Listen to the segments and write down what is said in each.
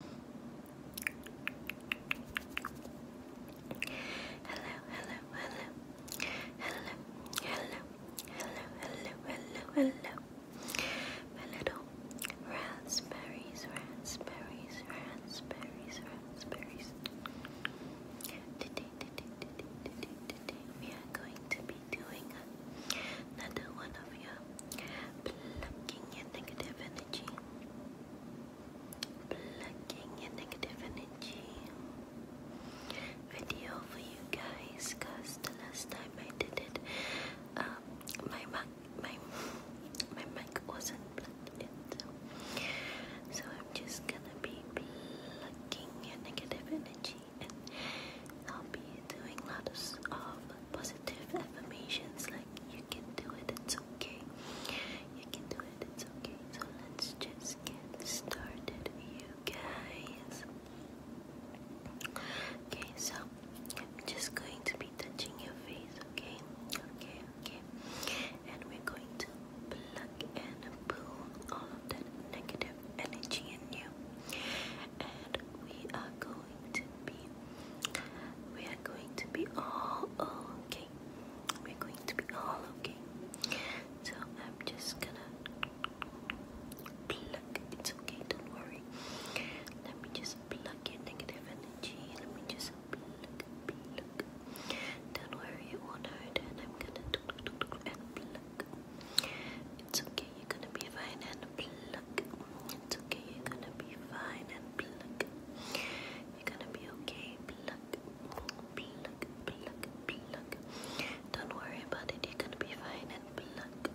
Hello, hello, hello. Hello, hello, hello, hello, hello, hello. My little raspberries, raspberries, raspberries, raspberries. Today, today, today, today, today, we are going to be doing another one of your Plucking negative energy. Plucking negative energy. Video for you guys, cause the last time I did it, um, my mic, my my mic wasn't plugged in, so I'm just gonna be plucking your negative energy, and I'll be doing lots of positive affirmations like you can do it, it's okay. You can do it, it's okay. So let's just get started, you guys. Okay, so I'm just going to be touching your face, okay? Okay, okay. And we're going to pluck and pull all of that negative energy in you. And we are going we are going to be all okay we're going to be all okay so I'm just gonna pluck it's okay don't worry let me just pluck your negative energy let me just pluck don't worry it won't hurt and I'm gonna and pluck it's okay you're gonna be fine and pluck it's okay, you're gonna be fine and pluck. You're gonna be okay. Pluck, pluck, pluck, pluck. Don't worry about you're gonna be fine and pluck.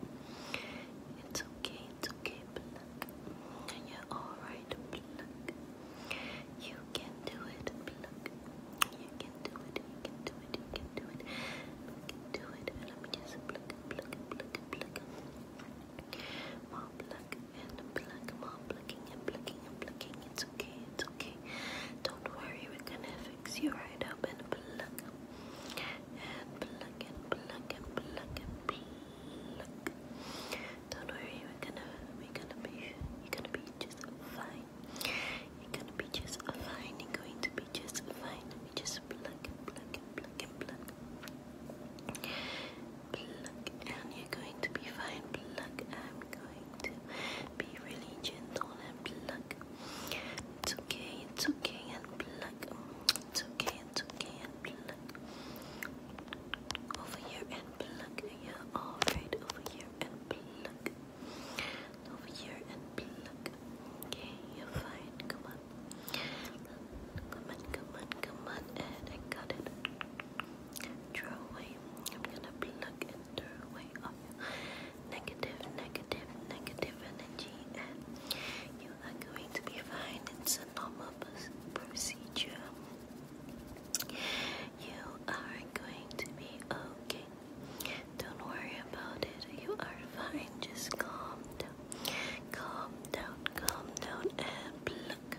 It's okay, it's okay, pluck. And you're alright, pluck. You can do it, pluck. You can do it, you can do it, you can do it. You can do it. Let me just pluck, pluck, pluck, pluck. More pluck and pluck, more plucking and plucking and plucking. It's okay, it's okay. Don't worry, we're gonna fix you right up and pluck. And pluck and pluck and pluck and pluck. Don't worry, we're gonna we're gonna be you're gonna be just fine. You're gonna be just fine. You're going to be just fine. Let just pluck and pluck and pluck and pluck and you're going to be fine. Pluck, I'm going to be really gentle and pluck. It's okay, it's okay, and pluck. It's okay, it's okay, and pluck. Over here and pluck. You're alright. Over here and pluck. Over here and pluck. Okay, you're fine. Come on. Come on, come on, come on, and I got it. Draw away. I'm gonna be and throw away all negative energy, and you are going to be fine. It's a normal procedure. You are going to be okay. Don't worry about it. You are fine. Just calm down. Calm down, calm down and pluck.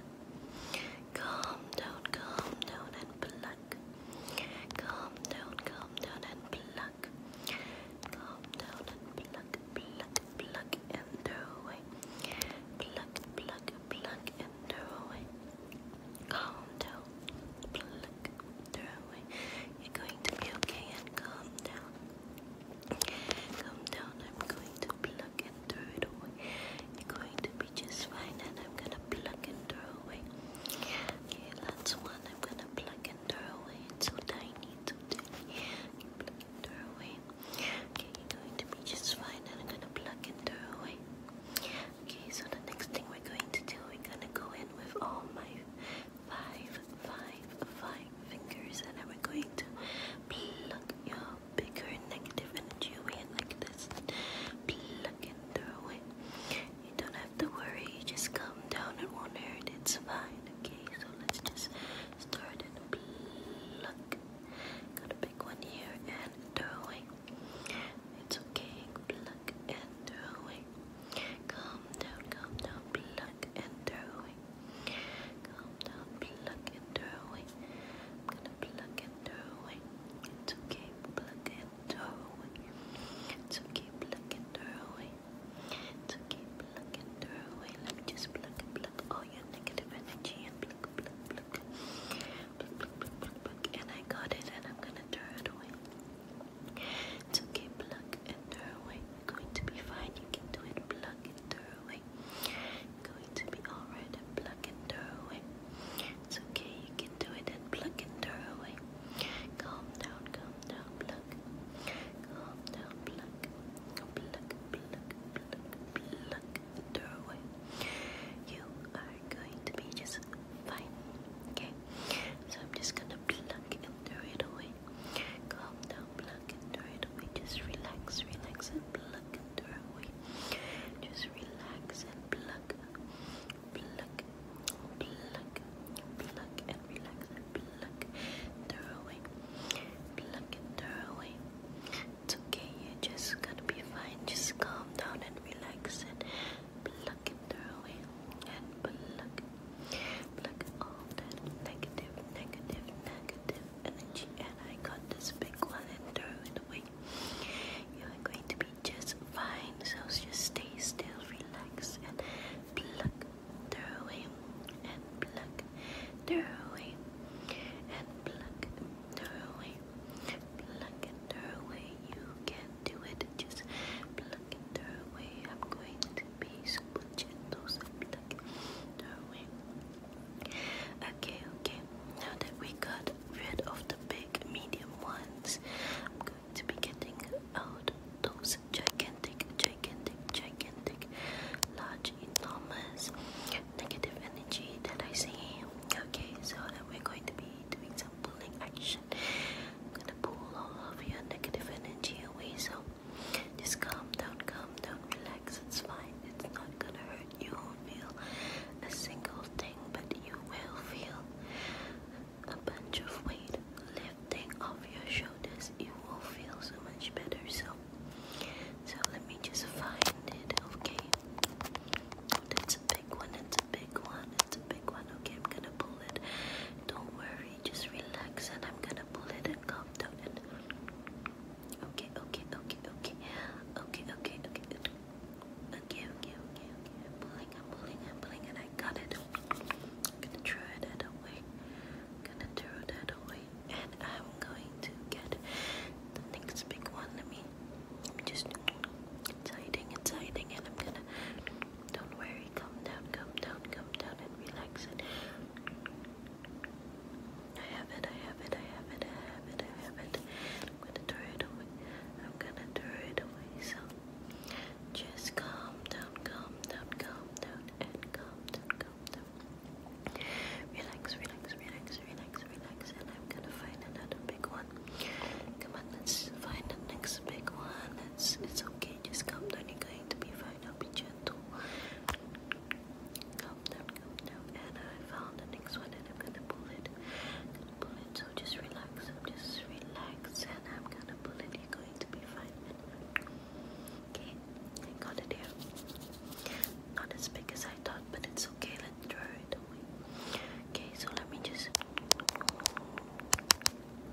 Calm down, calm down and pluck. Calm down, calm down and pluck. Calm down and pluck, pluck, pluck and throw away. Pluck, pluck, pluck and throw away. Calm down, pluck, throw away. You're going to be okay and calm down. Come down, I'm going to pluck and throw it away. You're going to be just fine, and I'm gonna pluck and throw away. Okay, that's one. I'm gonna pluck and throw away. It's so tiny, tiny. pluck and throw away. Okay, you're going to be just fine, and I'm gonna pluck and throw away. Okay, so the next thing we're going to do, we're gonna go in with all my five five, five fingers, and then we're going to pluck your bigger negative energy away like this. Pluck and throw it. You don't have to worry, you just calm down, it won't hurt, it's fine. Okay, so let's just start and pluck. Got a big one here and throwing. It's okay, pluck and throwing. Calm down, calm down, pluck and throwing. Calm down, pluck and throw away. I'm gonna pluck and throw away. It's okay, pluck and throw away. It's okay, pluck and throw away. It's okay, pluck and throw away. Let me just pluck and pluck all your negative energy and pluck, pluck, pluck. Pluck, pluck, pluck, pluck, And I got it and I'm gonna throw it away. It's okay, pluck and throw away. You're going to be fine. You can do it. Pluck and thoroughly. It's going to be alright and pluck and thoroughly. It's okay, you can do it and pluck and thoroughly. Calm down, calm down, pluck. Calm down, pluck. Pluck, pluck, pluck, pluck, thoroughly. You are going to be just fine. Okay? So I'm just gonna pluck and throw it away. Calm down, pluck and throw it away. Just relax, relax and plug and throw away. Just relax and plug, plug, plug, plug and relax and throw away, plug and throw away. okay, you're just gonna be fine. Just calm down and relax and pluck and throw away and pluck like all that negative, negative, negative energy, and I got this big one and threw it away. You're going to be just fine, so just stay still, relax, and pluck, throw away, and pluck, throw away, and pluck, throw away, pluck, and throw away. You can do it, just pluck and throw away. I'm going be super gentle, so like doing. Okay, okay. Now that we got rid of the big, medium ones, I'm going to be getting out those gigantic, gigantic, gigantic, large, enormous negative energy that I see. Okay, so then we're going to be doing some pulling action. I'm gonna pull all of your negative energy away. So just calm come, don't relax, it's fine. It's not gonna hurt. You won't feel a single thing, but you will feel a bunch of weight lifting off your shoulders. You will feel so much better. So, so let me just find it, okay? That's a big one, it's a big one, it's a big one. Okay, I'm gonna pull it. Don't worry, just relax and I'm gonna pull it and down okay, okay, okay, okay, okay, okay, okay, okay, okay, okay, I'm pulling, i pulling, i pulling, and I got it. gonna throw that away. gonna throw that away, and I'm going to get the next big one. Let me, just. It's hiding, it's and I'm gonna. Don't worry, calm down, calm down, calm down, and relax. And I have it, I have it, I have it, I have it, I have it. I'm gonna throw it away. I'm gonna throw it away. So just calm down, calm down, calm down, and calm down, calm down. Relax, relax, relax, relax, relax, and I'm gonna find another big one. Come on, let's find the next big one. It's it's okay, just calm down, you're going to be fine, I'll be gentle. down, calm down. And I found the next one and I'm gonna pull it. gonna pull it, so just relax. i just relax and I'm gonna pull it. You're going to be fine. Okay, I got it here. Not as big as I thought, but it's okay. Let's draw it Okay, so let me just.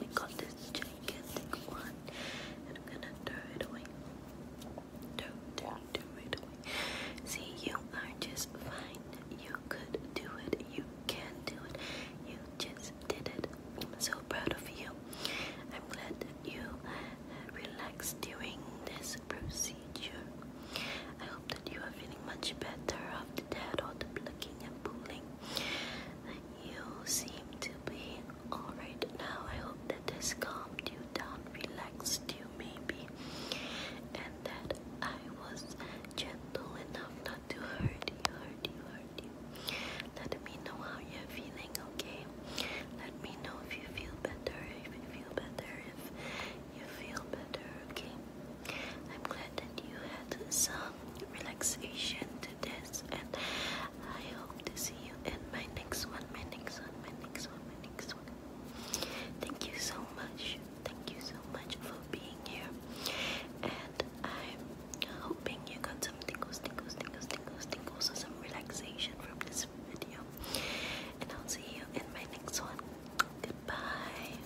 we got this gigantic one, and I'm gonna throw it away. Throw, throw, throw it away. See, you are just fine. You could do it. You can do it. You just did it. I'm so proud of you. I'm glad that you relaxed during this procedure. I hope that you are feeling much better after that, all the plucking and pulling you seem to be alright now. I hope that this calmed you down, relaxed you maybe, and that I was gentle enough not to hurt you, hurt you, hurt you. Let me know how you're feeling, okay? Let me know if you feel better, if you feel better, if you feel better, okay? I'm glad that you had some relaxation to this, and I hope to see you in my next one, my next one, my next one, my next one. Thank you so much. Thank you so much for being here, and I'm hoping you got some tingles, tingles, tingles, tingles, tingles, or some relaxation from this video. And I'll see you in my next one. Goodbye.